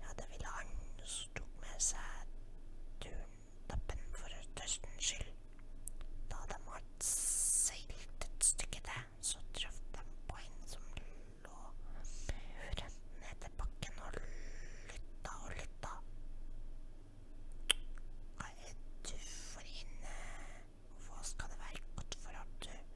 Jag hade villan som tok med seg turntappen for tørstens skyld. Da de hadde seilt et stykke til, så traff de på en som lå muren ned til bakken og lytta og lytta. Hva er du for inne? Hva skal det være godt for at du